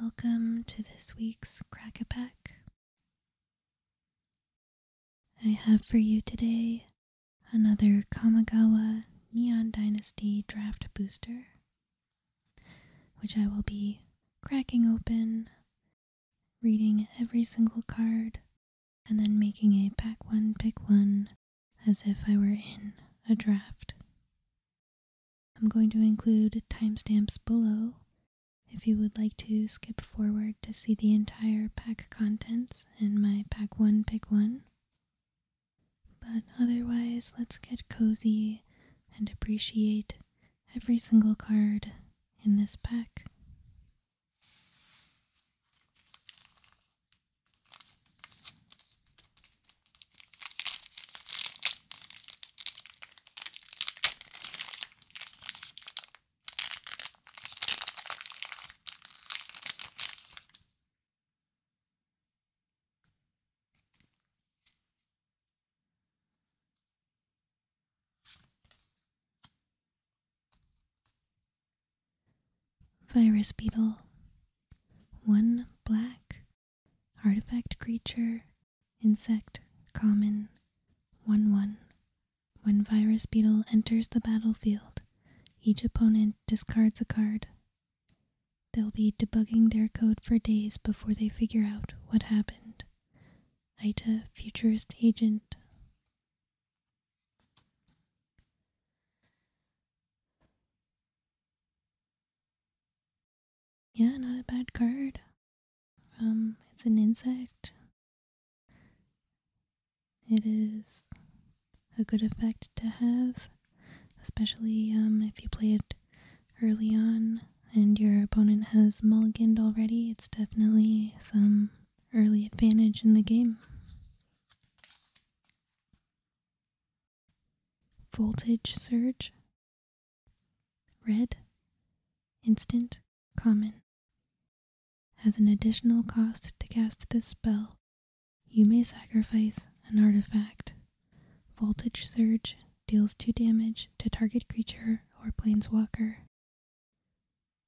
Welcome to this week's Crack I have for you today another Kamigawa Neon Dynasty draft booster which I will be cracking open, reading every single card, and then making a pack one, pick one as if I were in a draft. I'm going to include timestamps below if you would like to skip forward to see the entire pack contents in my pack one, pick one. But otherwise, let's get cozy and appreciate every single card in this pack. Virus beetle. One black artifact creature, insect, common, 1 1. When Virus Beetle enters the battlefield, each opponent discards a card. They'll be debugging their code for days before they figure out what happened. Ida, futurist agent. Yeah, not a bad card. Um, it's an insect. It is a good effect to have, especially um, if you play it early on and your opponent has mulliganed already, it's definitely some early advantage in the game. Voltage Surge Red Instant Common Has an additional cost to cast this spell. You may sacrifice an artifact Voltage Surge deals 2 damage to target creature or planeswalker.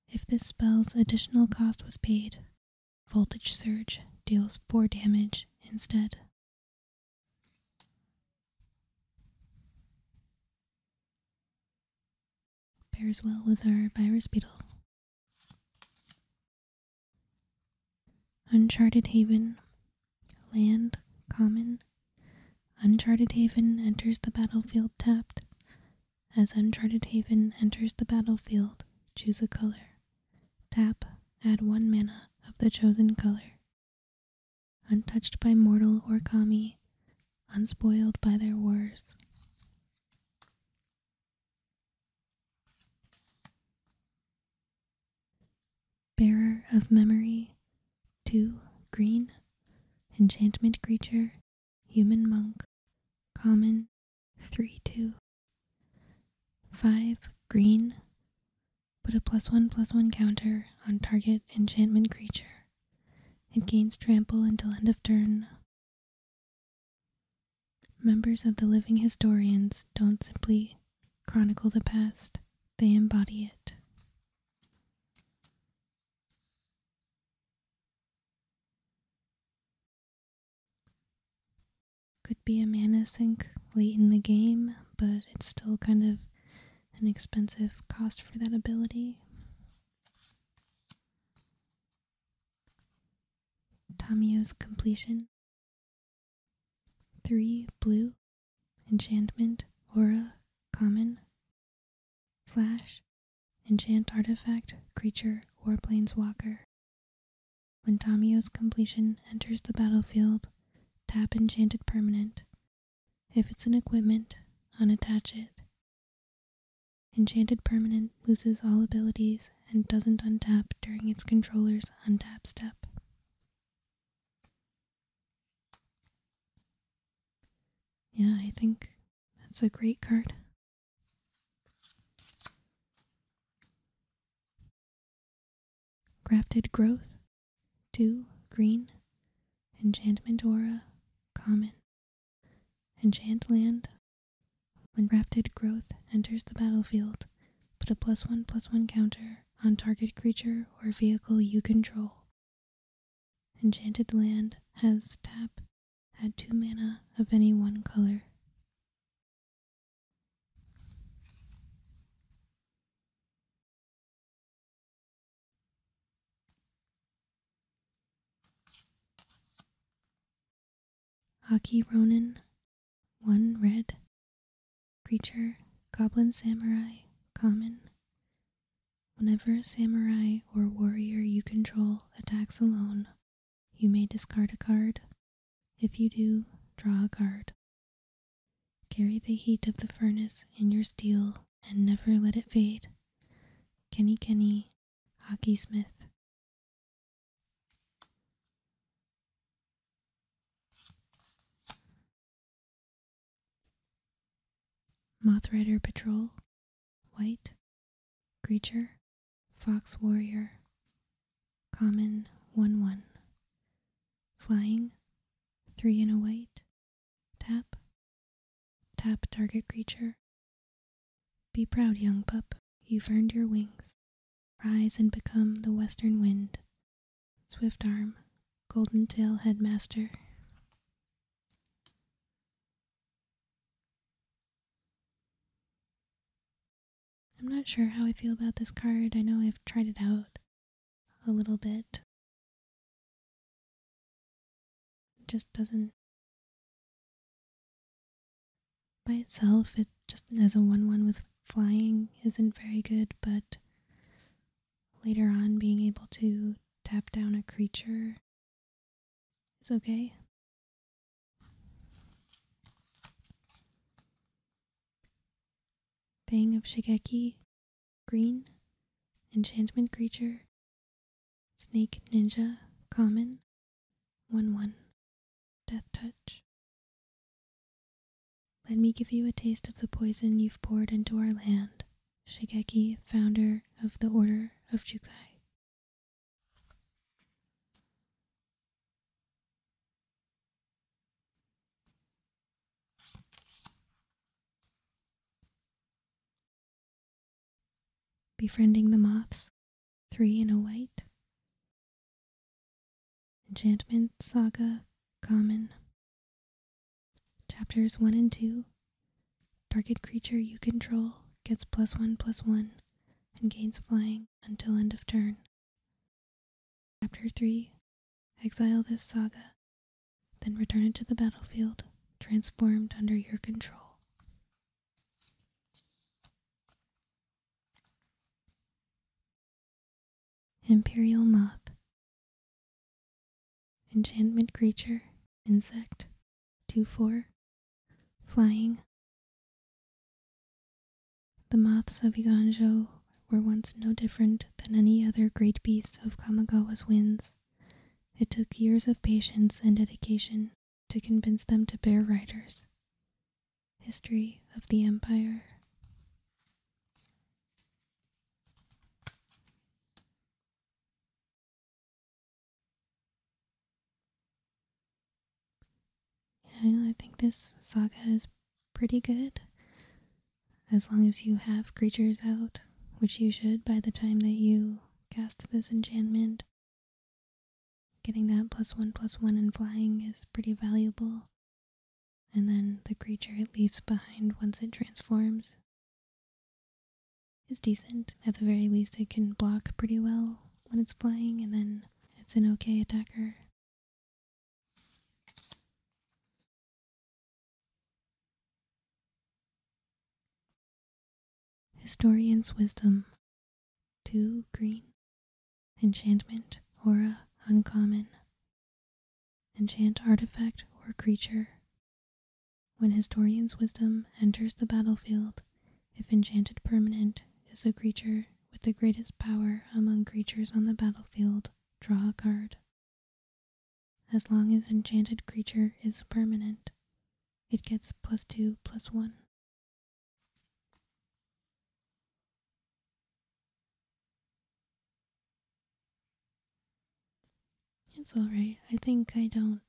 If this spell's additional cost was paid, Voltage Surge deals 4 damage instead. Bears well with our Virus Beetle. Uncharted Haven Land, common. Uncharted Haven enters the battlefield tapped. As Uncharted Haven enters the battlefield, choose a color. Tap, add one mana of the chosen color. Untouched by mortal or kami, unspoiled by their wars bearer of memory, two, green, enchantment creature, human monk, common, three, two, five, green, put a plus one plus one counter on target enchantment creature. It gains trample until end of turn. Members of the living historians don't simply chronicle the past, they embody it. Could be a mana sink late in the game, but it's still kind of an expensive cost for that ability. Tamio's completion. Three blue enchantment, aura, common, flash, enchant artifact, creature, Warplanes Walker. When Tamio's completion enters the battlefield, tap enchanted permanent. If it's an equipment, unattach it. Enchanted Permanent loses all abilities and doesn't untap during its controller's untap step. Yeah, I think that's a great card. Grafted Growth, 2, Green, Enchantment Aura, Common, Enchant Land. When Grafted Growth enters the battlefield, put a plus 1 plus 1 counter on target creature or vehicle you control. Enchanted Land has tap, had 2 mana of any one color. Aki Ronin, 1 red, creature, goblin samurai, common. Whenever a samurai or warrior you control attacks alone, you may discard a card. If you do, draw a card. Carry the heat of the furnace in your steel and never let it fade. Kenny Kenny, Hockey Smith. Moth Rider Patrol, White, Creature, Fox Warrior, Common 1 1. Flying, 3 in a white, tap, tap target creature. Be proud, young pup, you've earned your wings. Rise and become the western wind Swift Arm, Golden Tail Headmaster. I'm not sure how I feel about this card. I know I've tried it out a little bit. It just doesn't. By itself, it just as a 1 1 with flying isn't very good, but later on being able to tap down a creature its okay. Bang of Shigeki, green, enchantment creature, snake ninja, common, 1 1, death touch. Let me give you a taste of the poison you've poured into our land, Shigeki, founder of the Order of Jukai. Befriending the Moths, Three in a White. Enchantment Saga, Common. Chapters 1 and 2 Target creature you control gets plus 1 plus 1 and gains flying until end of turn. Chapter 3 Exile this saga, then return it to the battlefield, transformed under your control. Imperial Moth Enchantment creature, insect, 2 4, flying. The moths of Iganjo were once no different than any other great beast of Kamigawa's winds. It took years of patience and dedication to convince them to bear riders. History of the Empire. Yeah, I think this saga is pretty good. As long as you have creatures out, which you should by the time that you cast this enchantment, getting that plus one plus one and flying is pretty valuable. And then the creature it leaves behind once it transforms is decent. At the very least, it can block pretty well when it's flying, and then it's an okay attacker. Historian's Wisdom 2 Green Enchantment Aura Uncommon enchant artifact or creature. When historian's wisdom enters the battlefield, if enchanted permanent is a creature with the greatest power among creatures on the battlefield, draw a card. As long as enchanted creature is permanent, it gets plus 2 plus 1. It's alright. I think I don't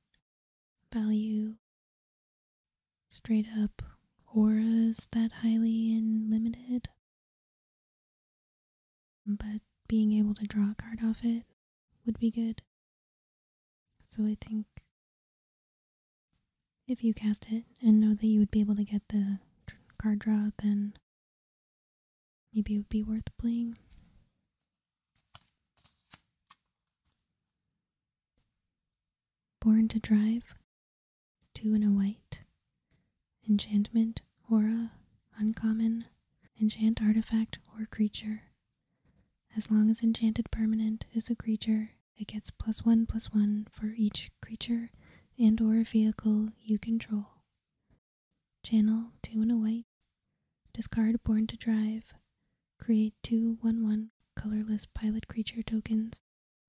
value straight up auras that highly and limited. But being able to draw a card off it would be good. So I think if you cast it and know that you would be able to get the card draw, then Maybe it would be worth playing. Born to Drive, Two in a White, Enchantment, Aura, Uncommon, Enchant Artifact or Creature. As long as Enchanted Permanent is a creature, it gets plus one plus one for each creature and or vehicle you control. Channel 2 and a white. Discard Born to Drive. Create two 1 1 colorless pilot creature tokens.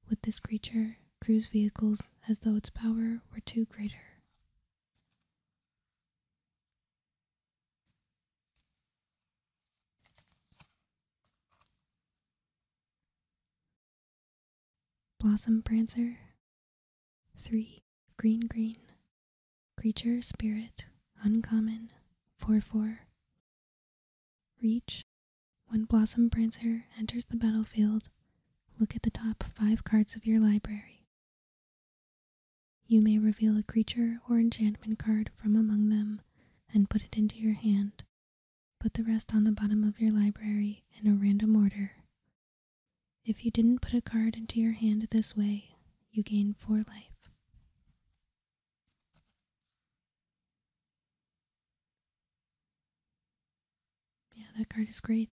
With this creature, cruise vehicles as though its power were two greater. Blossom Prancer 3. Green Green. Creature, Spirit, Uncommon, 4 4. Reach. When Blossom Prancer enters the battlefield, look at the top 5 cards of your library. You may reveal a creature or enchantment card from among them and put it into your hand. Put the rest on the bottom of your library in a random order if you didn't put a card into your hand this way, you gain 4 life. Yeah, that card is great.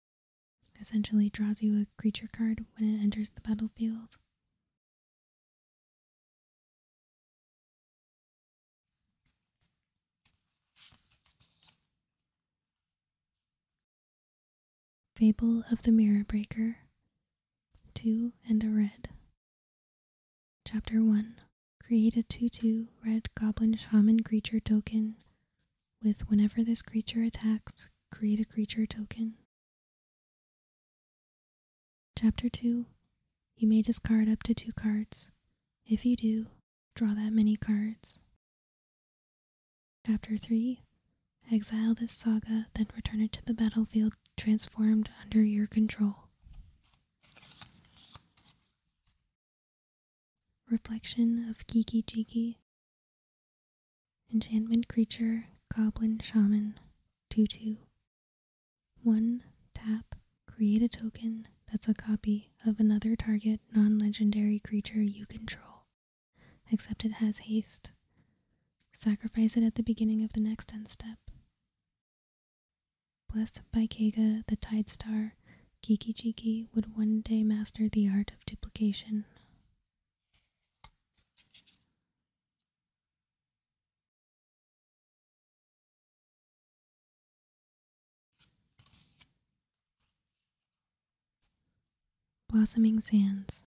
Essentially draws you a creature card when it enters the battlefield. Fable of the Mirror Breaker, Two and a Red. Chapter 1 Create a 2 2 red goblin shaman creature token with whenever this creature attacks, create a creature token. Chapter 2 You may discard up to two cards. If you do, draw that many cards. Chapter 3 Exile this saga, then return it to the battlefield, transformed under your control. Reflection of Kiki Jiki. Enchantment creature, goblin shaman, 2 2. 1. Tap. Create a token that's a copy of another target non legendary creature you control. Except it has haste. Sacrifice it at the beginning of the next end step. Blessed by Kaga, the Tide Star, Kiki Chiki would one day master the art of duplication. Blossoming Sands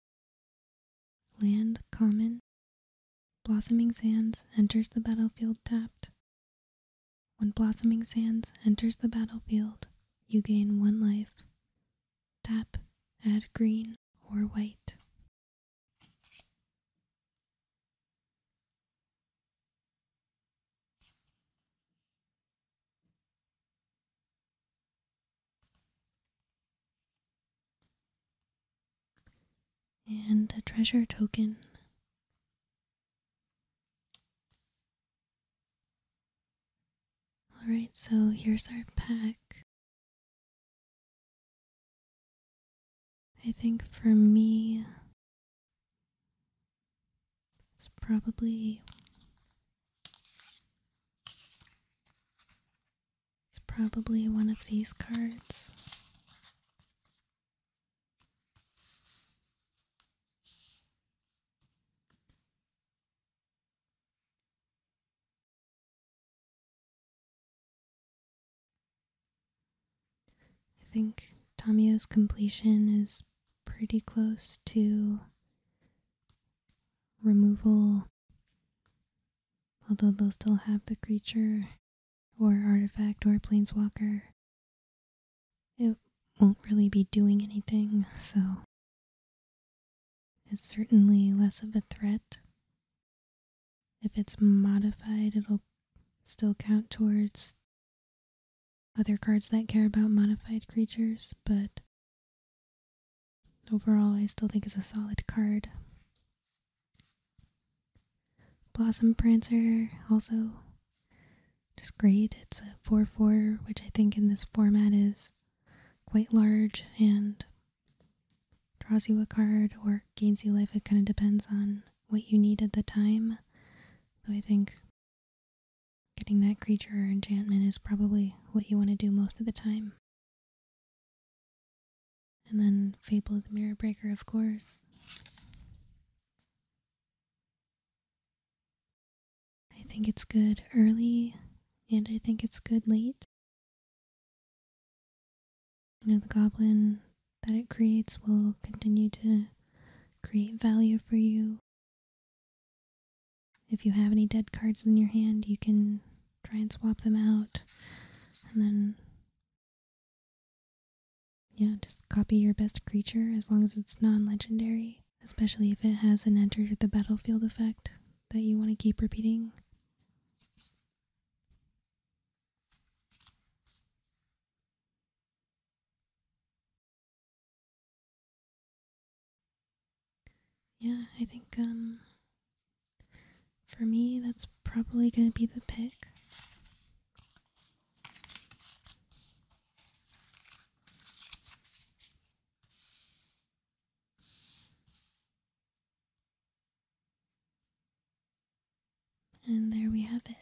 Land common. Blossoming Sands enters the battlefield tapped. When Blossoming Sands enters the battlefield, you gain one life. Tap, add green or white and a treasure token. Alright, so here's our pack. I think for me, it's probably it's probably one of these cards. I think Tomio's completion is pretty close to removal Although they'll still have the creature or artifact or planeswalker, it won't really be doing anything, so it's certainly less of a threat. If it's modified, it'll still count towards other cards that care about modified creatures, but Overall, I still think it's a solid card. Blossom Prancer, also just great. It's a 4 4, which I think in this format is quite large and draws you a card or gains you life. It kind of depends on what you need at the time. So I think getting that creature or enchantment is probably what you want to do most of the time. And then Fable of the Mirror Breaker, of course. I think it's good early, and I think it's good late. You know, the goblin that it creates will continue to create value for you if you have any dead cards in your hand, you can try and swap them out. And then, yeah, just copy your best creature as long as it's non legendary, especially if it has an enter the battlefield effect that you want to keep repeating. Yeah, I think um, for me that's probably going to be the pick. And there we have it.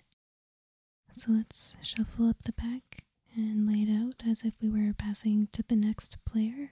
So let's shuffle up the pack and lay it out as if we were passing to the next player.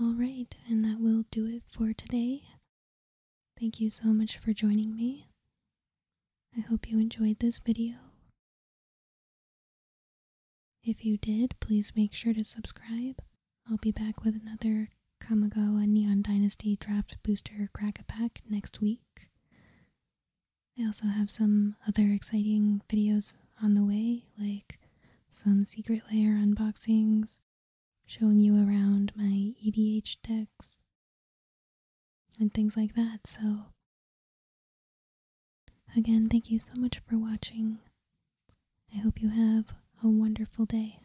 All right, and that will do it for today. Thank you so much for joining me. I hope you enjoyed this video. If you did, please make sure to subscribe. I'll be back with another Kamigawa Neon Dynasty Draft Booster crack pack next week. I also have some other exciting videos on the way, like some secret layer unboxings, showing you around my EDH decks, and things like that. So, again, thank you so much for watching. I hope you have a wonderful day.